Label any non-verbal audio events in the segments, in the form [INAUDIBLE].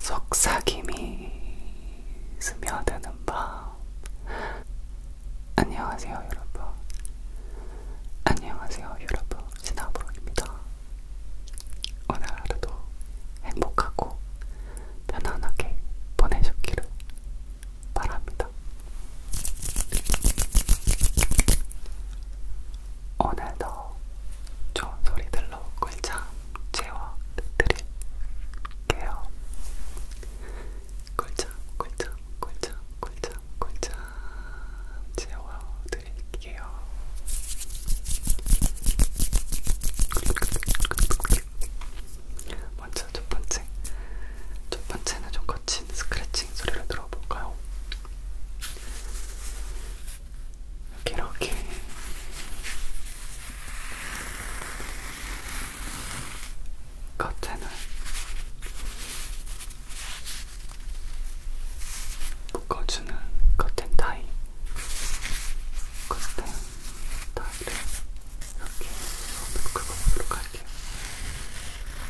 속삭임이 스며드는 밤 안녕하세요 여러분 안녕하세요 여러분 신하브로입니다 오늘 하루도 행복하고 편안하게 보내셨기를 바랍니다. 오늘도 좋은 소리들로 꿀잠 채워드릴게요. 꿀잠, 꿀잠, 꿀잠, 꿀잠, 꿀잠 채워드릴게요. 먼저 첫 번째. 첫 번째는 좀 거친 스크래칭 소리를 들어볼까요? 이렇게 이렇게. 겉에는 묶어주는 커튼 타이 커튼 타이를 이렇게 묶어보도록 할게요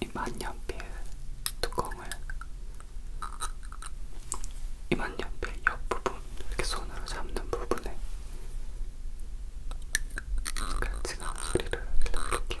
이 만년필 뚜껑을 이 만년필 옆부분 이렇게 손으로 잡는 부분에 같이 나온 소리를 들려드릴게요.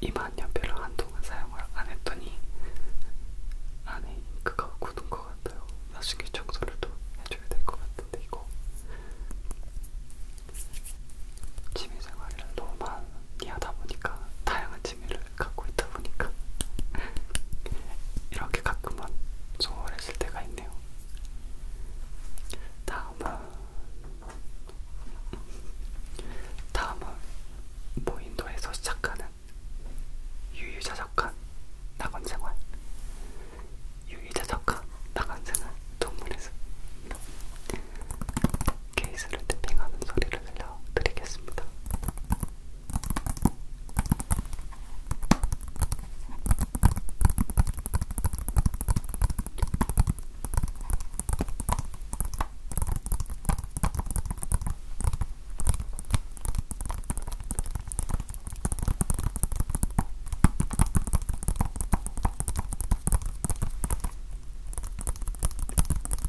이만 연필을 한동안 사용을 안 했더니 안에 잉크가 굳은 것 같아요. 나중에 청소를 또 해줘야 될 것 같은데 이거 취미생활을 너무 많이 이하다 보니까 다양한 취미를 갖고 있다 보니까 [LAUGHS] 이렇게 가끔은 소홀했을 때가 있네요. 다음은 다음은 무인도에서 시작하는 유유자적한 낙원생활 유유자적한 낙원생활 동물에서 케이스를 탭핑하는 소리를 들려드리겠습니다.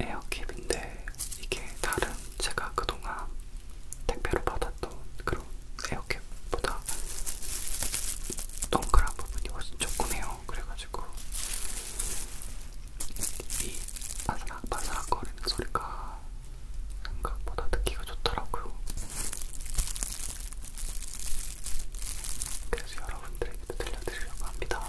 에어캡인데 이게 다른 제가 그동안 택배로 받았던 그런 에어캡보다 동그란 부분이 훨씬 조그매요. 그래가지고 이 바삭바삭 거리는 소리가 생각보다 듣기가 좋더라고요. 그래서 여러분들에게도 들려드리려고 합니다.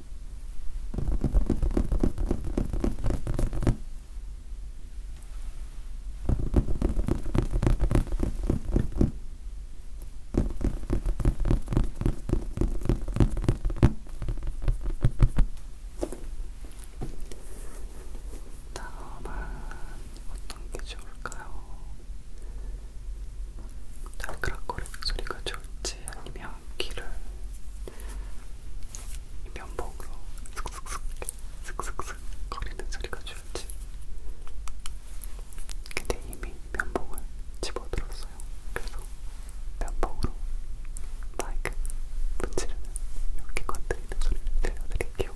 다음은 어떤 게 좋을까요? 달그락거리는 소리가 좋을지 렌즈 아니면 귀를 면봉으로 슥슥슥 슥슥슥 거리는 소리가 좋을지 근데 이미 면봉을 집어들었어요. 그래서 면봉으로 마이크 문지르는 이렇게 건드리는 소리를 들려드릴게요.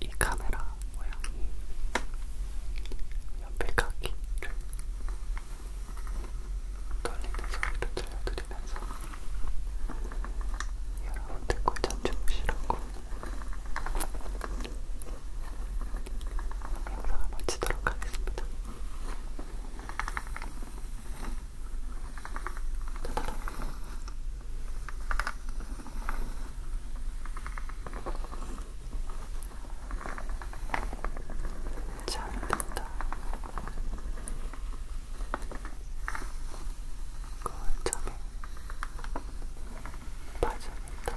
이 카메라 모양이 연필깎이를 돌리는 소리도 들려드리면서 여러분들 꿀잠 주무시라고 영상을 마치도록 하겠습니다. 잘 됐다. 거울장에 빠져있다.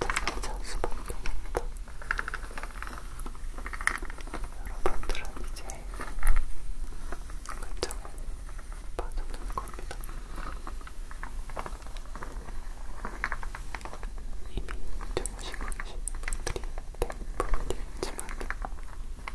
달라질 수밖에 없다. 여러분들은 이제 결정을 받아낼 겁니다. 이미 주무시고 계신 분들이 대부분이지만